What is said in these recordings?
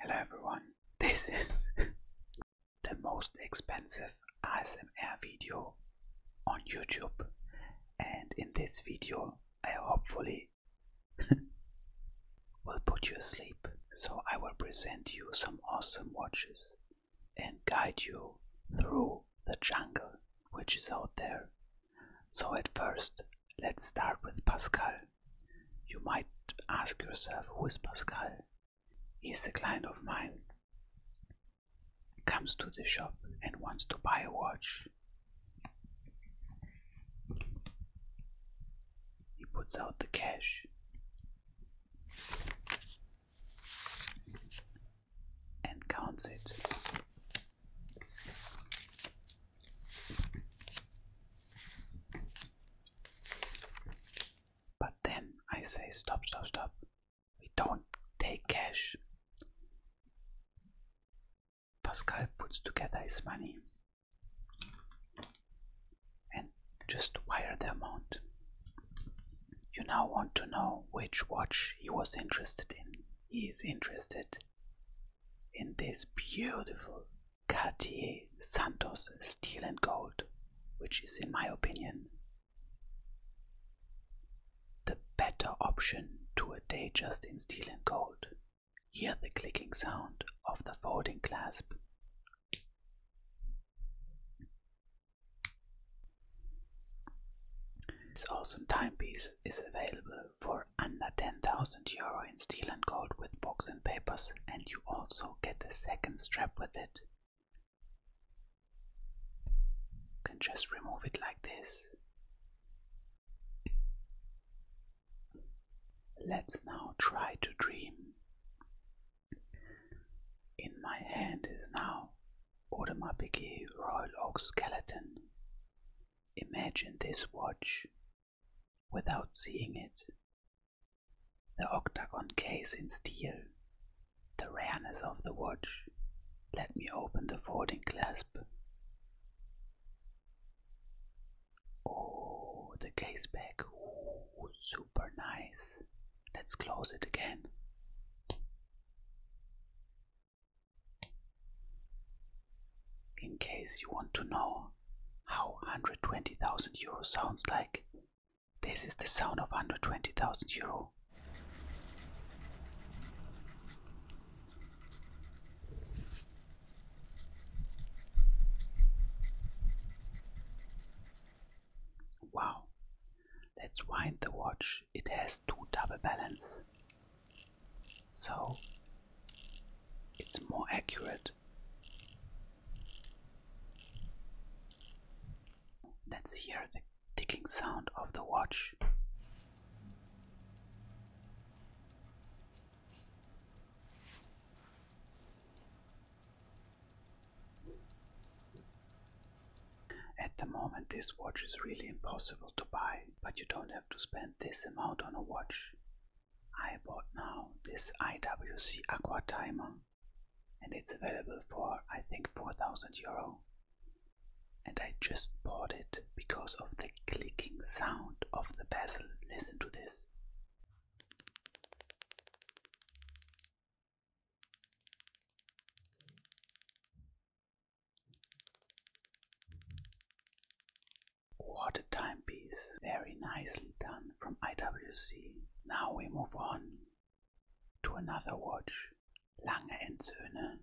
Hello everyone, this is the most expensive ASMR video on YouTube and in this video I hopefully will put you asleep. So I will present you some awesome watches and guide you through the jungle which is out there. So at first let's start with Pascal. You might ask yourself, who is Pascal? He is a client of mine. Comes to the shop and wants to buy a watch. He puts out the cash. And counts it. But then I say, stop, stop, stop. We don't take cash. Pascal puts together his money and just wire the amount. You now want to know which watch he was interested in. He is interested in this beautiful Cartier Santos Steel and Gold, which is, in my opinion, the better option to a day just in steel and gold. Hear the clicking sound of the folding clasp. This awesome timepiece is available for under 10,000 euro in steel and gold with box and papers, and you also get the second strap with it. can just remove it like this. Let's now try to dream. In my hand is now or the Biggie Royal Oak Skeleton. Imagine this watch without seeing it. The octagon case in steel, the rareness of the watch. Let me open the folding clasp. Oh, the case back. Ooh, super nice. Let's close it again. In case you want to know how 120,000 euro sounds like, this is the sound of 120,000 euro. Wow, Let's wind the watch. It has two double balance. So it's more accurate. Let's hear the ticking sound of the watch. At the moment this watch is really impossible to buy, but you don't have to spend this amount on a watch. I bought now this IWC Aqua Timer and it's available for I think 4000 euro. And I just bought it because of the clicking sound of the bezel. Listen to this. What a timepiece. Very nicely done from IWC. Now we move on to another watch. Lange Söhne.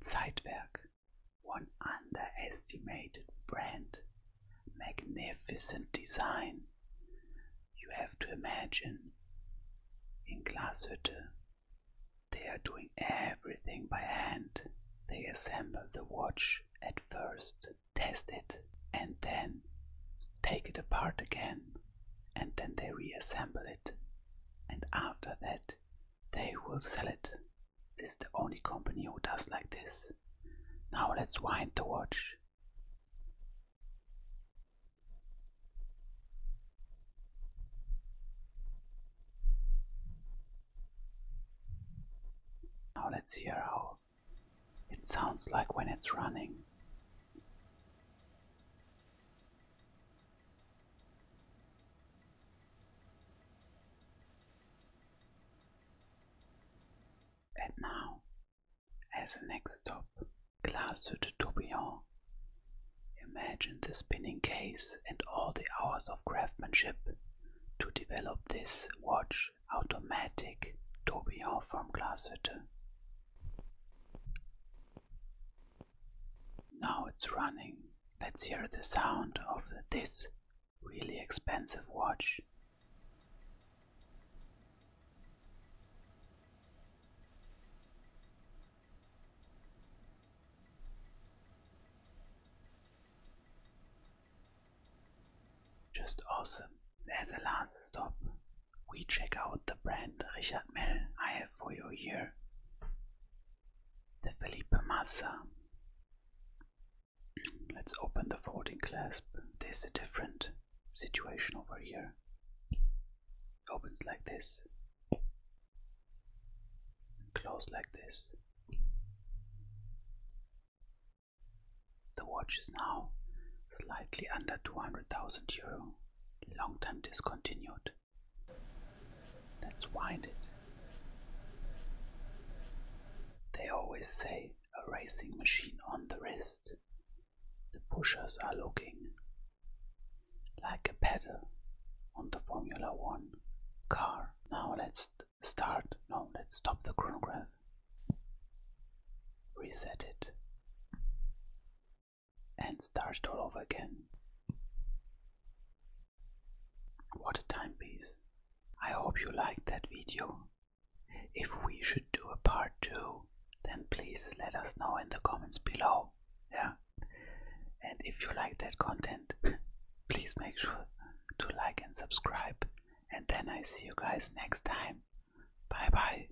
Zeitwerk. One underestimated brand magnificent design. You have to imagine in Glashütte they are doing everything by hand. They assemble the watch at first, test it, and then take it apart again, and then they reassemble it. And after that, they will sell it this is the only company who does like this. Now let's wind the watch. Now let's hear how it sounds like when it's running. And now, as a next stop, Glace de Tourbillon. Imagine the spinning case and all the hours of craftsmanship to develop this watch automatic tourbillon from Glashütte. Now it's running. Let's hear the sound of this really expensive watch. Just awesome. There's a last stop. We check out the brand Richard Mell I have for you here the Felipe Massa. Let's open the folding clasp. There's a different situation over here. It opens like this, and close like this. The watch is now slightly under 200,000 euro, long time discontinued. That's winded. They always say a racing machine on the wrist. The pushers are looking like a pedal on the Formula One car. Now let's start. No, let's stop the chronograph. Reset it and started all over again. What a timepiece. I hope you liked that video. If we should do a part 2, then please let us know in the comments below. Yeah. And if you like that content, please make sure to like and subscribe. And then I see you guys next time. Bye bye.